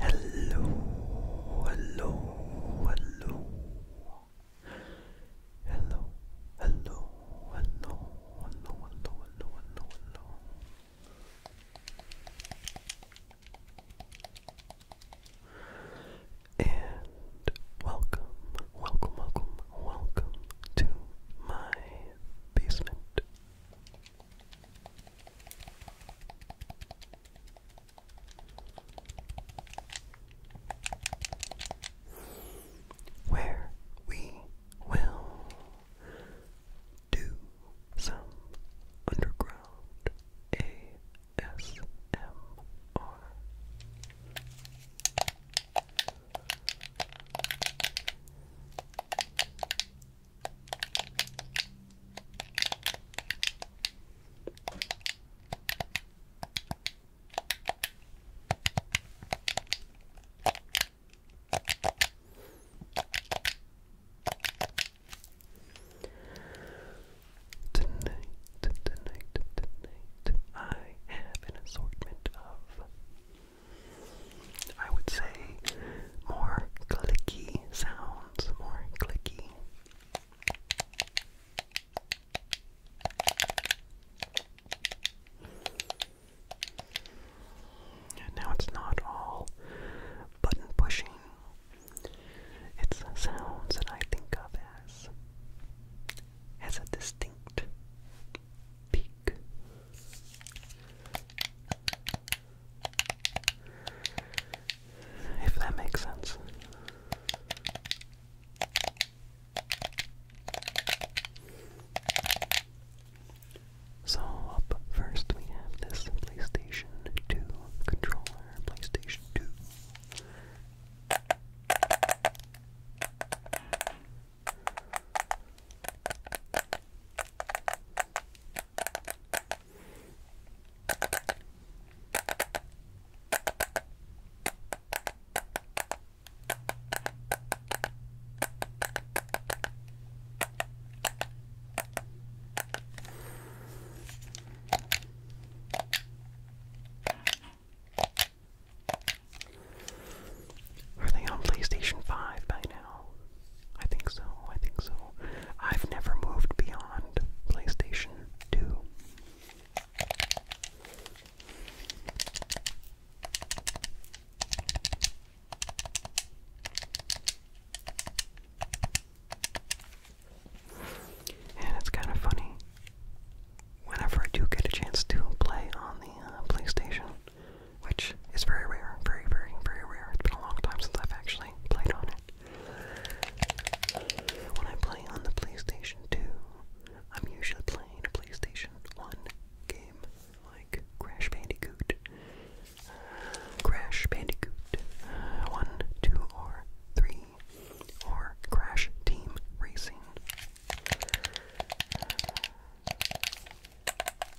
Hello, hello, hello. Hello, hello, hello, hello, hello, hello, hello, hello. And welcome, welcome, welcome, welcome to my basement. Where we will do some underground ASMR. Tonight, tonight, tonight, I have an assortment of I would say more clicky sounds, more clicky. Now it's not all button pushing. It's sounds that I think of as as a distinct peak. If that makes sense. So, up first we have this PlayStation 2 controller, PlayStation 2. Are they on PlayStation 5 by now? I think so, I think so. I've never moved beyond PlayStation 2. And it's kind of funny. Whenever I do get a chance to play on the uh, PlayStation, which is very rare, very, very, very rare. It's been a long time since I've actually played on it. When I play on the PlayStation 2, I'm usually playing a PlayStation 1 game like Crash Bandicoot. Uh, Crash Bandicoot uh, 1, 2, or 3, or Crash Team Racing.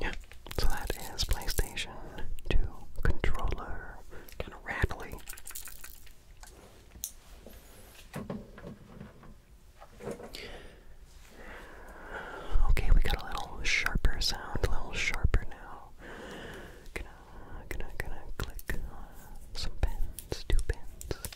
Yeah, so that is PlayStation 2 controller. Kind of rattly. Okay, we got a little sharper sound, a little sharper now. Gonna, gonna, gonna click on some pens, two pens. Okay.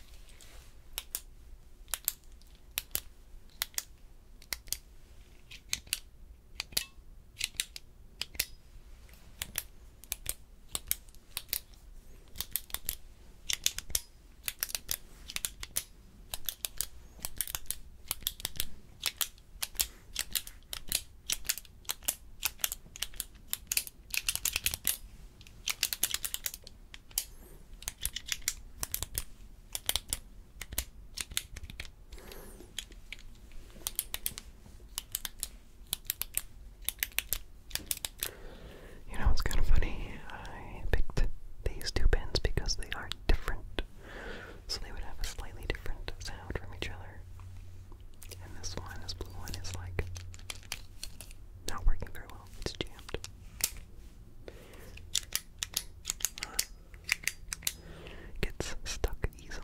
You know, it's kind of funny. I picked these two pins because they are different. So they would have a slightly different sound from each other. And this one, this blue one, is like not working very well. It's jammed. Gets stuck easily.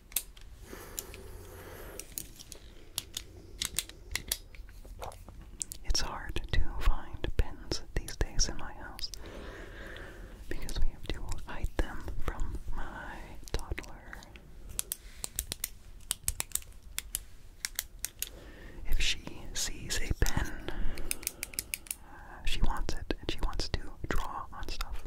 It's hard to find pens these days in my house because we have to hide them from my toddler. If she sees a pen, she wants it and she wants to draw on stuff.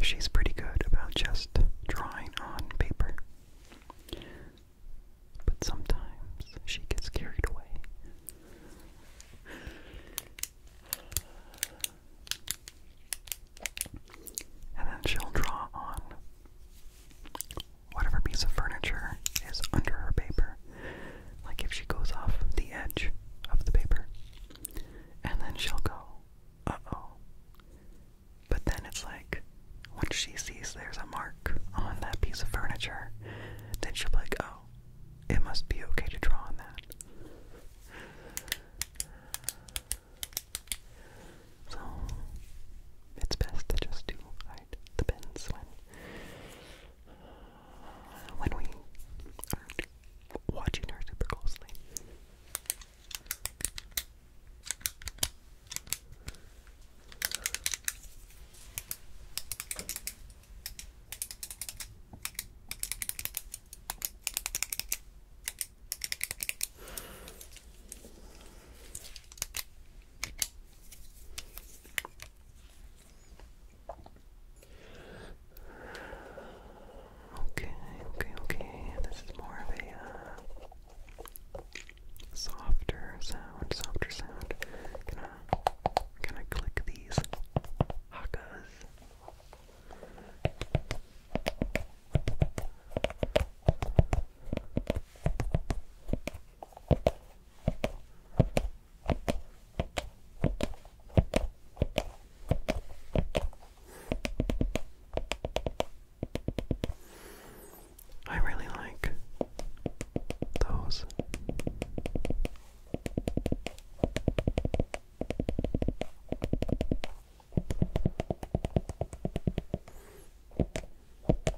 She's pretty good about just drawing on paper. But sometimes she gets carried away. And then she'll draw on whatever piece of furniture is under her paper. Like if she goes off the edge of the paper, and then she'll go, uh oh. But then it's like, once she sees there's a mark on that piece of furniture, then she'll be like, oh, it must be okay to draw on that. So it's best to just do hide the pins when uh, when we are watching her super closely. Okay, okay, okay. This is more of a uh, softer sound, softer sound. Gonna, gonna click these hakas. I really like those.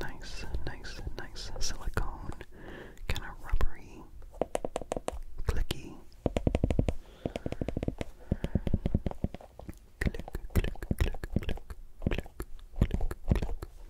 Nice, nice, nice silicone, kind of rubbery, clicky. Click, click, click, click, click, click, click, click,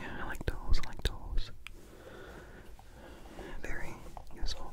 Yeah, I like tools, I like tools. Very useful.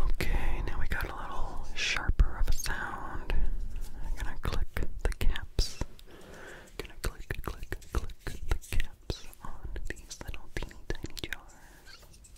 Okay, now we got a little sharper of a sound. gonna click the caps. gonna click, click, click the caps on these little teeny tiny jars.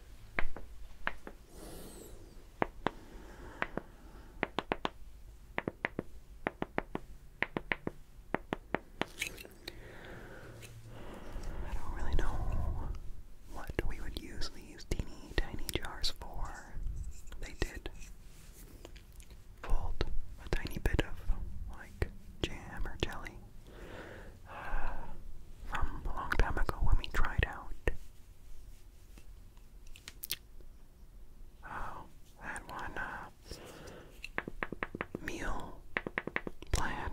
I don't really know what we would use these teeny tiny jars for. They did fold a tiny bit of like jam or jelly from a long time ago when we tried out. that oh, one uh, meal plan.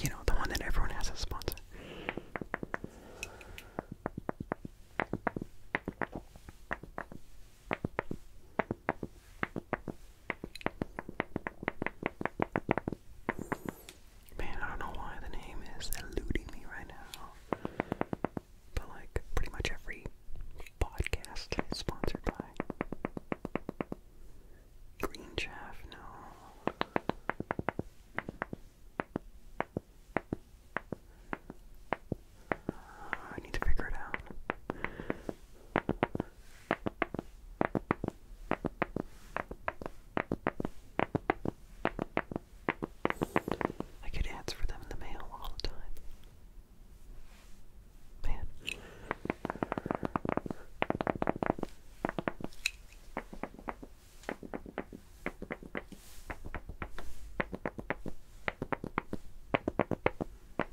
You know, the one that everyone has as a sponsor. Man, I don't know why the name is eluding me right now. But, like, pretty much every podcast is sponsored by Green Chaff. No. I need to figure it out. I get answer for them in the mail all the time. Man.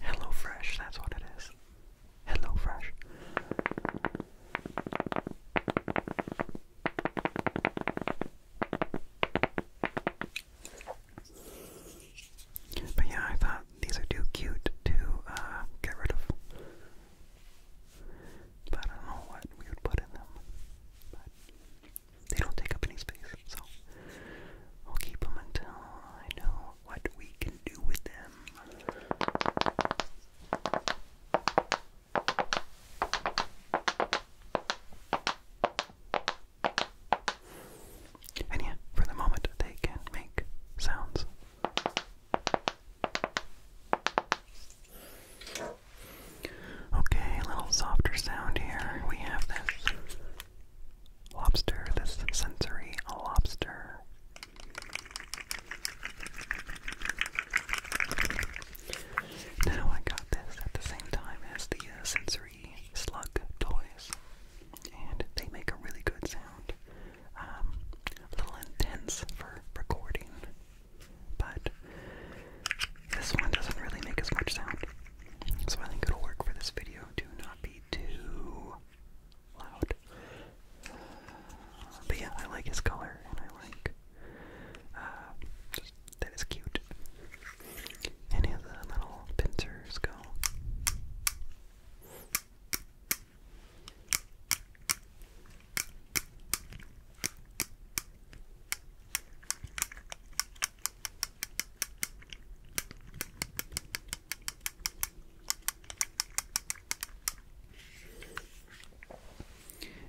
Hello Fresh, that's what it is. Hello Fresh. But yeah, I thought these are too cute to uh, get rid of. But I don't know what we would put in them. But they don't take up any space, so I'll keep them until I know what we can do with them. And yeah, for the moment, they can make sounds. Okay, a little softer sound here. We have this lobster, this sensory lobster. Now I got this at the same time as the uh, sensory slug toys, and they make a really good sound. Um, a little intense for recording, but this one doesn't really make as much sound, so I think it'll work for this video Do not be too loud. But yeah, I like his color, and I like uh, that is cute. And he has little pincer skull.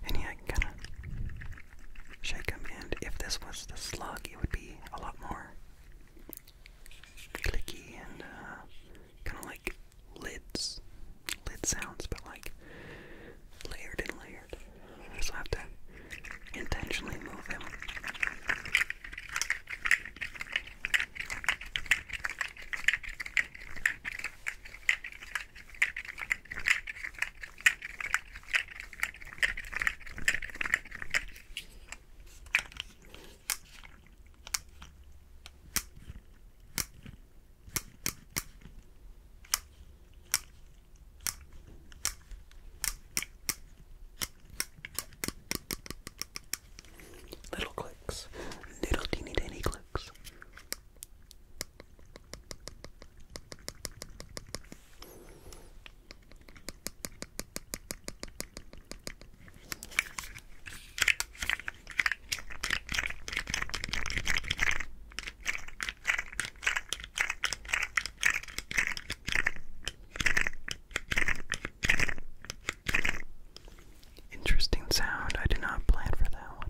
And yeah, kind of shake them. And if this was the slug, it would be a lot more clicky and uh, kind of like lids, lid sounds, but like layered and layered. So I have to intentionally move him. Little clicks, little teeny tiny clicks. Interesting sound. I did not plan for that one.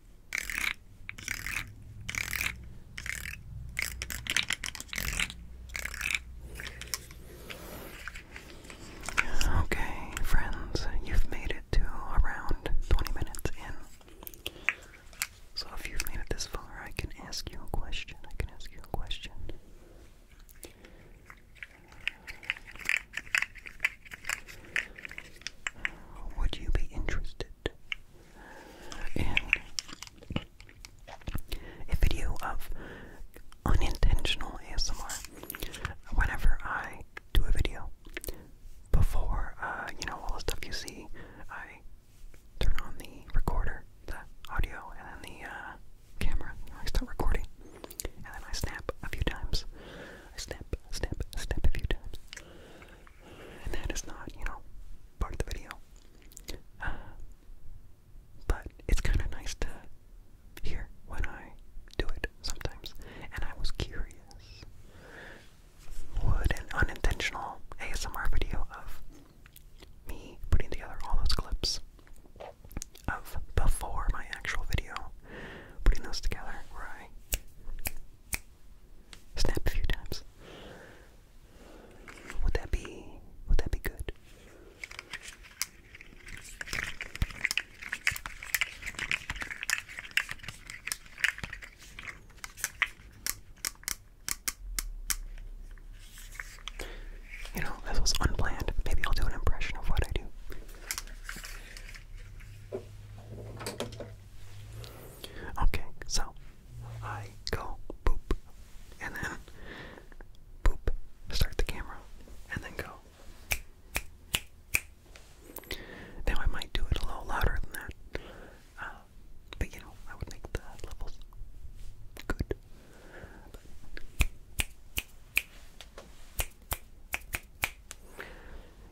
Okay, friends, you've made it to around 20 minutes in. So if you've made it this far, I can ask you a question. I can ask you a question. Would you be interested and a video of unintentional ASMR. Whenever I do a video before, uh, you know, all the stuff you see, I turn on the recorder, the audio, and then the uh, camera. I start recording, and then I snap a few times. I snap, snap, snap a few times and that is not, you know, part of the video. Uh, but it's kind of nice to hear when I do it sometimes. And I was curious would an unintentional ASMR video of me putting together all those clips of before my actual video, putting those together where Snap a few times. Would that be would that be good? You know, this was unplanned. Maybe I'll do an impression of what I do. Okay, so I go boop and then boop, start the camera, and then go. Now I might do it a little louder than that, uh, but you know, I would make the levels good.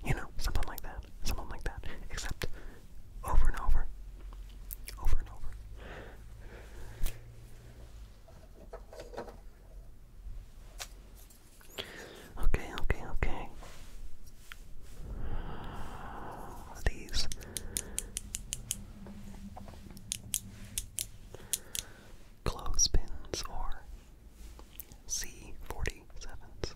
You know, something like that. Something like that. Except over and over. Over and over. Okay, okay, okay. These. Clothespins or C47s.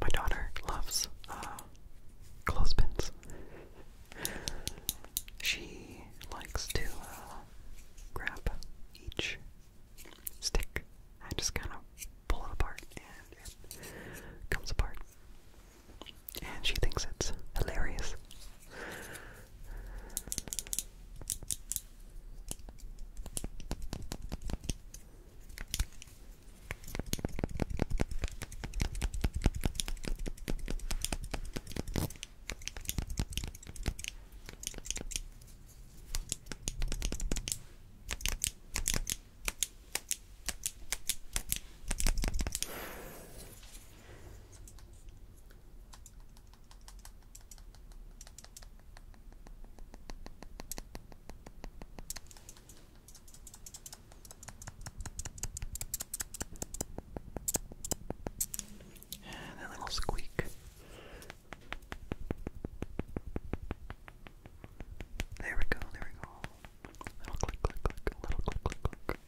My daughter loves uh, clothespins. she likes to uh, grab each stick. and just kind of pull it apart and it comes apart. And she thinks it's hilarious. And that little squeak there we go, there we go. Little click, click, click, little click, click, click.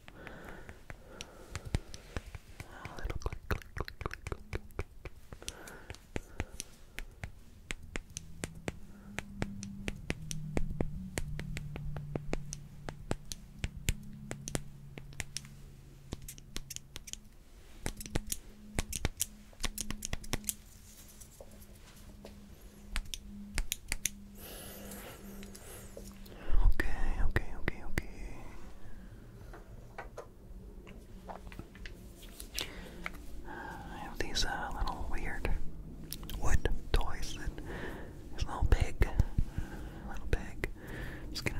Little click, click, click, click, click. There Okay, okay, okay, okay. I have these uh, little weird wood toys that is a little big. A little big. Just gonna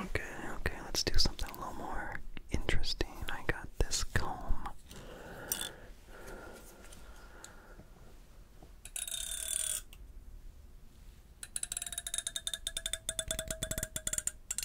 Okay, okay, let's do something a little more interesting. I got this comb.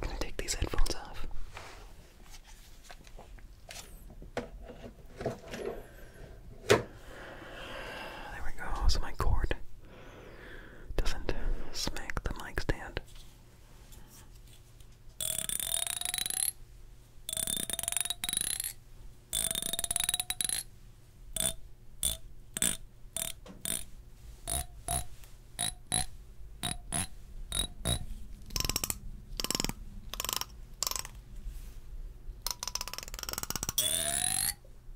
Can I take these headphones off? There we go, so my cord doesn't smack the mic stand.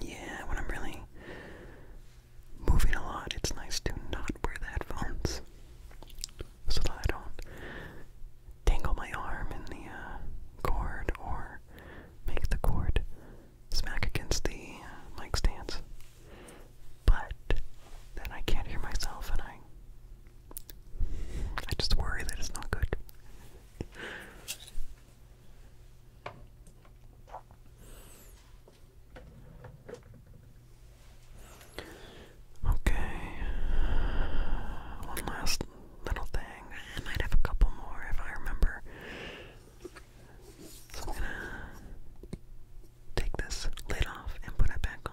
Yeah, when I'm really moving a lot, it's nice to not wear headphones so that I don't tangle my arm in the uh, cord or make the cord smack against the uh, mic stands. But then I can't hear myself and I I just worry that it's not good. Okay. One last little thing. I might have a couple more if I remember. So I'm gonna take this lid off and put it back on.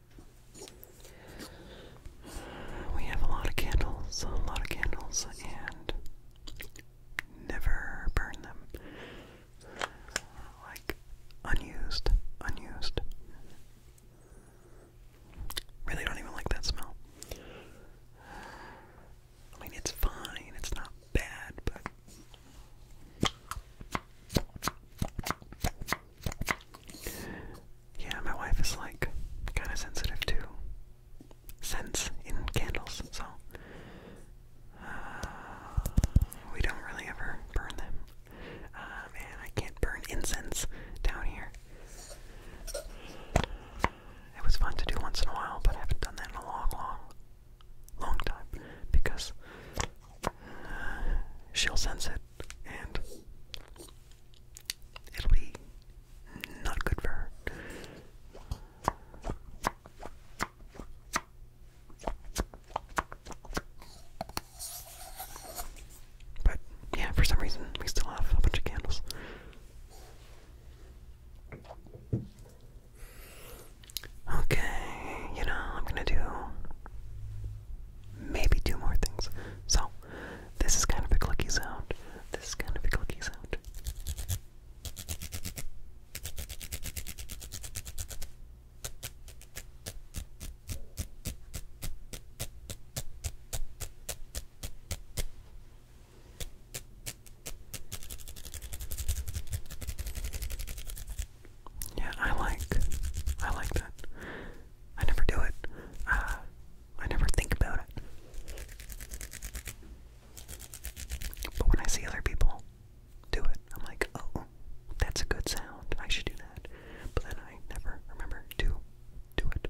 We have a lot of candles, a lot of candles, and never burn them. Like, unused, unused. Really don't even like that smell. I mean, it's fine, it's not bad, but. Yeah, my wife is like kind of sensitive to scents in candles, so uh, we don't really ever burn them. Um, I can't burn incense down here. It was fun to do once in a while, but I haven't done that in a long, long, long time because uh, she'll sense it, and it'll be not good for her. But yeah, for some reason, we still have a bunch of candles. Okay, you know, I'm gonna do maybe two more things. So, this is kind of a clicky sound. This is kind of a clicky sound. Yeah, I like I like that. I never do it. Uh, I never think about it. But when I see other people do it, I'm like, oh, that's a good sound. I should do that. But then I never remember to do it.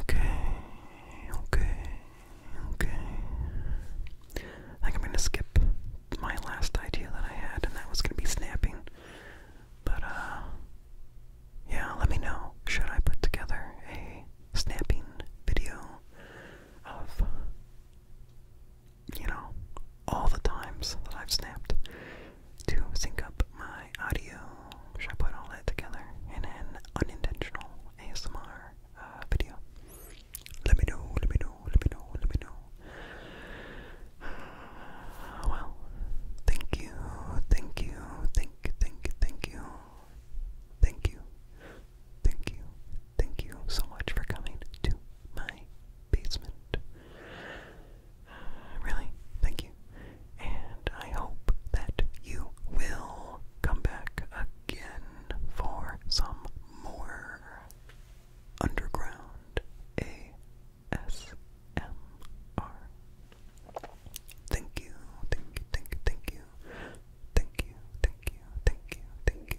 Okay, okay, okay. I think I'm gonna skip my last idea that I had, and that was gonna be snapping. But, uh, yeah, let me know. Should I put together a snapping video of you know, all the times that I've snapped to sync up my audio. Should I put all that together in an unintentional ASMR uh, video? Let me know, let me know, let me know, let me know. well, thank you, thank you, thank you, thank you, thank you, thank you, thank you, thank you so much for coming to my basement. Really, thank you. And I hope that you will come back again for some more underground ASMR. Thank you, thank you, thank you, thank you. Thank you, thank you, thank you, thank you.